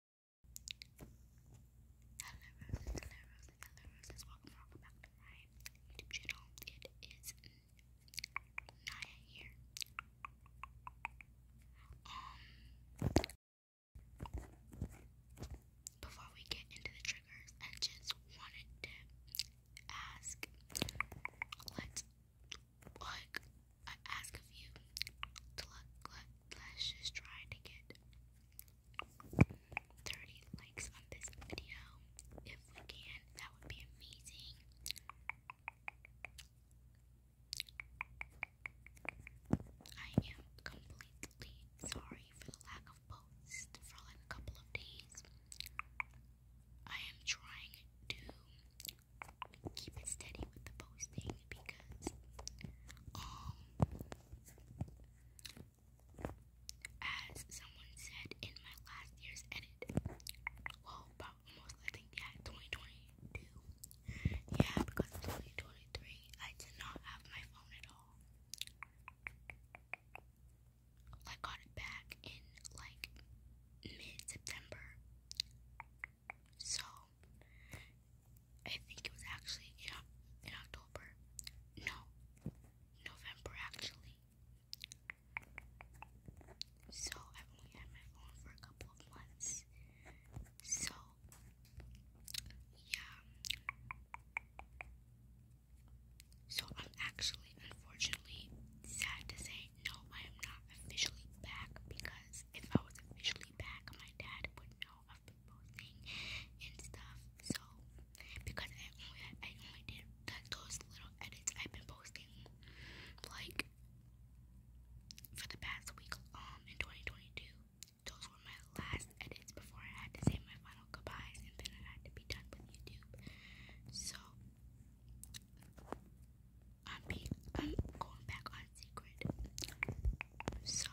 Hello Roses, hello hello welcome, welcome back to my YouTube channel. It is Naya here. before we get into the triggers, I just wanted to ask, let like, ask of you let's just try to get 30 likes on this video. If we can, that would be amazing. I am completely sorry for the lack of posts for like a couple of days. I am trying to keep it steady with the posting because um as someone said in my last year's edit, well about almost I yeah 2022, yeah because 2023 I did not have my phone at all. I got it back in like mid September. So I think it was actually in, in October. No, November actually. So i only had my phone for a couple of months. So, yeah. So I'm actually, unfortunately, sad to say, no, I am not officially back because if I was officially back, my dad would know of people thing and stuff. So because I only I only did those little edits I've been posting like for the past week um in 2022. Those were my last edits before I had to say my final goodbyes and then I had to be done with YouTube. So I'm being I'm going back on secret. So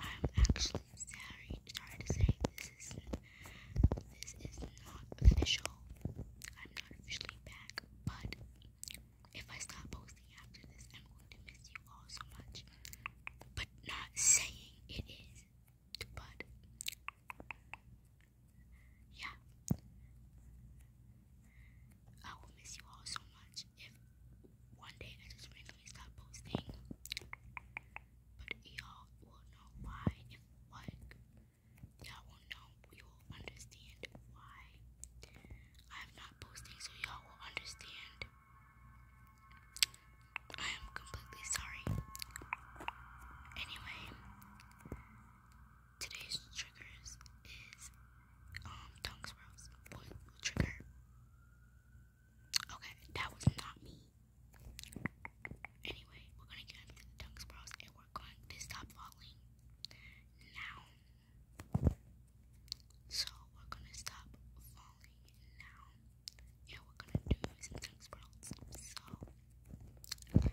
I'm actually sorry, to say this is this is not official. I'm not officially back, but if I stop posting after this, I'm going to miss you all so much. But not saying it is, but yeah, I will miss you all so much if one day I just randomly stop posting, but y'all will know why. If like y'all will know, you will understand why I'm not posting, so y'all will understand. I am completely sorry. Anyway, today's triggers is um, tongue swirls would trigger. Okay, that was not me. Anyway, we're gonna get into the tongue swirls and we're going to stop falling now. So we're gonna stop falling now. Yeah, we're gonna do some tongue swirls. So yeah.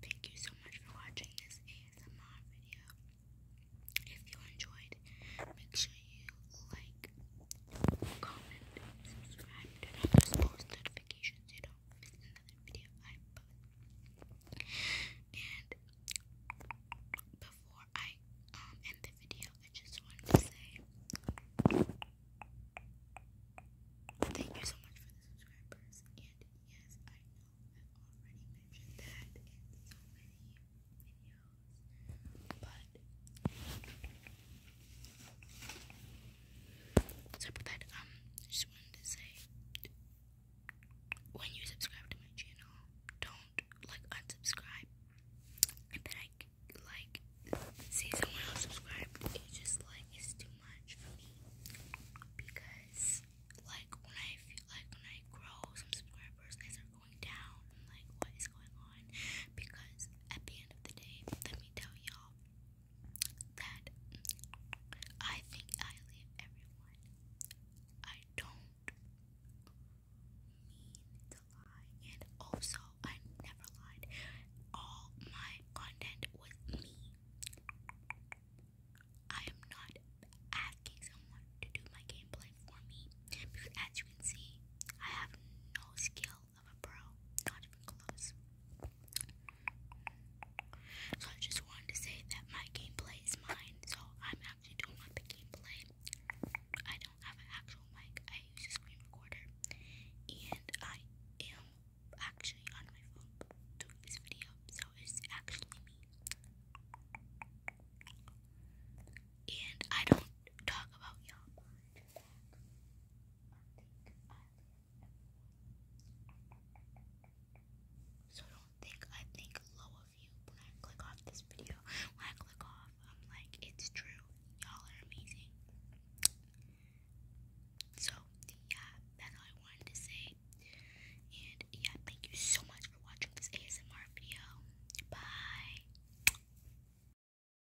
Thank you so much for watching this ASMR video. If you enjoyed, make sure you like, comment, subscribe, turn post notifications so you don't miss another video And before I end the video, I just wanted to say thank you so much for the subscribers. And yes, I know i already mentioned that in so many videos, but so um, just wanted to say, when you subscribe to my channel, don't like unsubscribe. And then I like see someone else It just like is too much for me because like when I like when I grow, some subscribers they going down. like, what because at the end of the day, let me tell y'all that I think highly of everyone. I don't mean to lie, and also I never lied. All my content was me. I am not asking someone to do my gameplay for me because, as you can see, I have no skill of a pro. Not even close. So I just wanted to say that my gameplay is mine. So I'm actually doing my gameplay. I don't have an actual mic. I use a screen recorder. And I am actually on my phone doing this video. So it's actually me. And I don't talk about Yelp. So don't think I think low of you when I click off this video. When I click off, I'm like, it's true. Y'all are amazing. So yeah, that's all I wanted to say. And yeah, thank you so much for watching this ASMR video. Bye.